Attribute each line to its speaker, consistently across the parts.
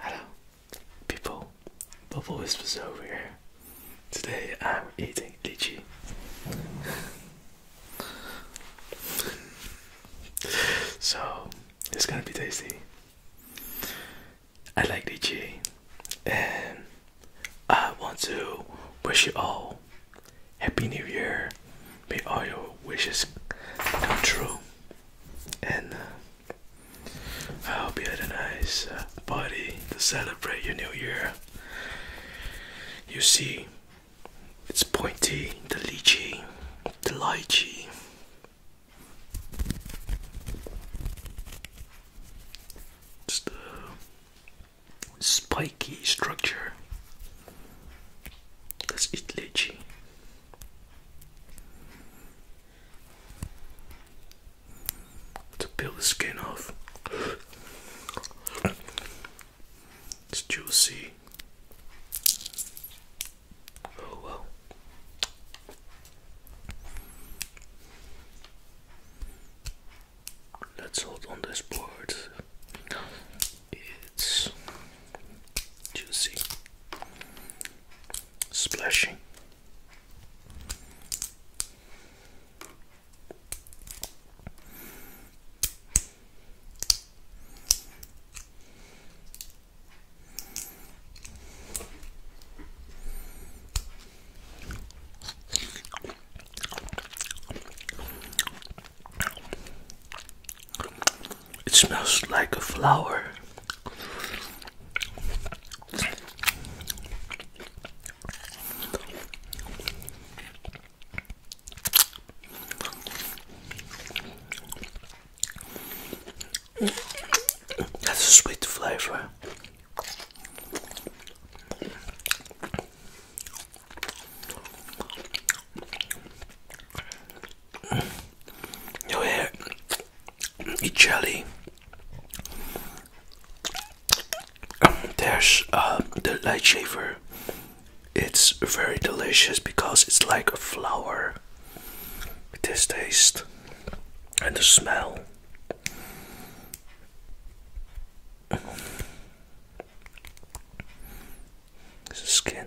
Speaker 1: Hello, people. Bubble Whispers over here. Today I'm eating lychee. so it's gonna be tasty. I like lychee, and I want to wish you all happy New Year. May all your wishes come true, and. Uh, I hope you had a nice uh, party to celebrate your new year. You see, it's pointy, the lychee, the lychee. It's the spiky structure. That's it, eat lychee to peel the skin off. It's juicy. Oh well. Let's hold on this board. It's juicy, splashing. It smells like a flower. That's a sweet flavor. Yo here, eat jelly. Um, there's uh, the light shaver. It's very delicious because it's like a flower. With this taste and the smell. It's skin.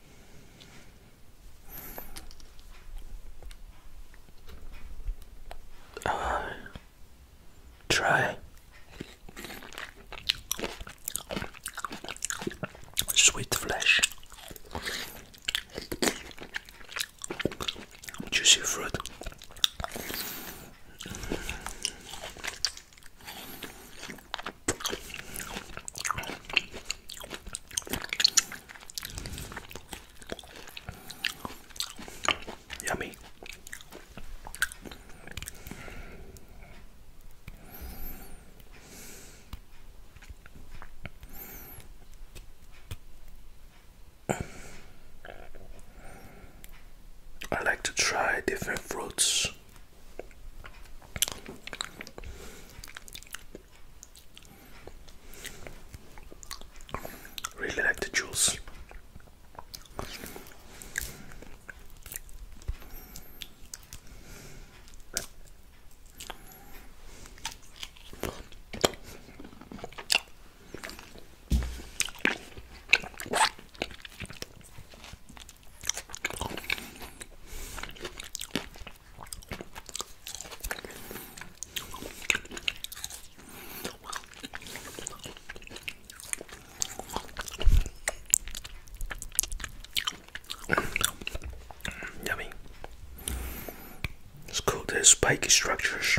Speaker 1: try sweet flesh, juicy fruit. Yummy. I like to try different fruits. Really like the juice. Yummy. It's called the spiky structures.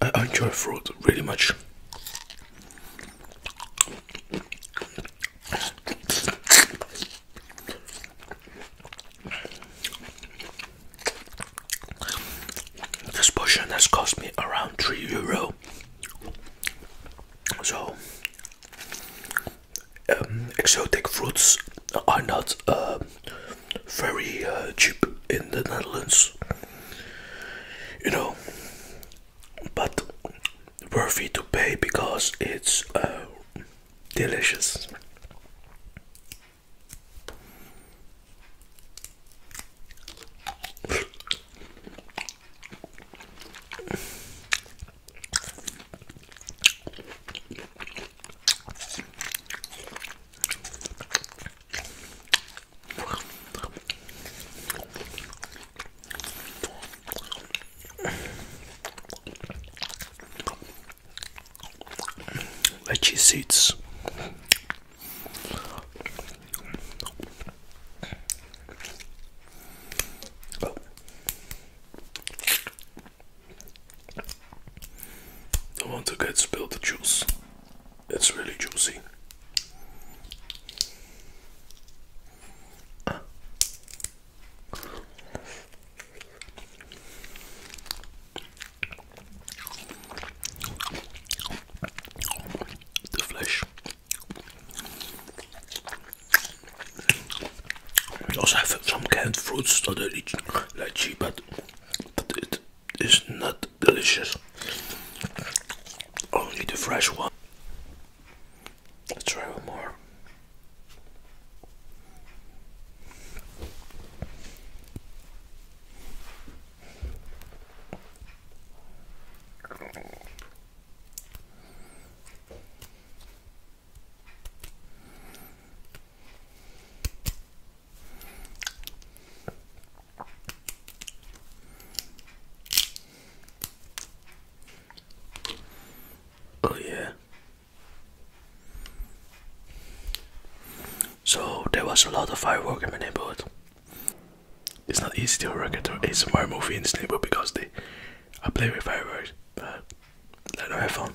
Speaker 1: I enjoy fruit really much. This portion has cost me around 3 euro. So, um, exotic fruits are not um, very uh, cheap in the Netherlands, you know, but worthy to pay because it's uh, delicious. Veggie seeds. Oh. Don't want to get spilled the juice. It's really juicy. The flesh. We also have some canned fruits that are lychee, but it is not delicious. Only the fresh one. Let's try one more. Oh, yeah. So, there was a lot of fireworks in my neighborhood. It's not easy to record a smart movie in this neighborhood because they, I play with fireworks, but let them have fun.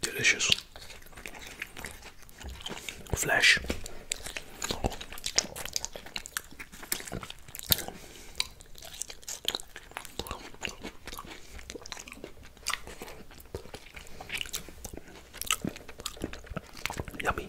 Speaker 1: Delicious. Flesh. Yummy.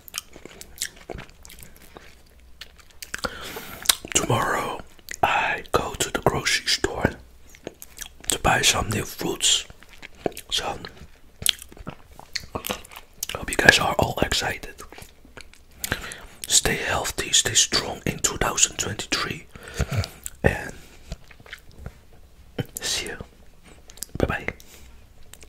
Speaker 1: Tomorrow I go to the grocery store to buy some new fruits. So hope you guys are all excited. Stay healthy, stay strong in 2023 and see you. Bye bye.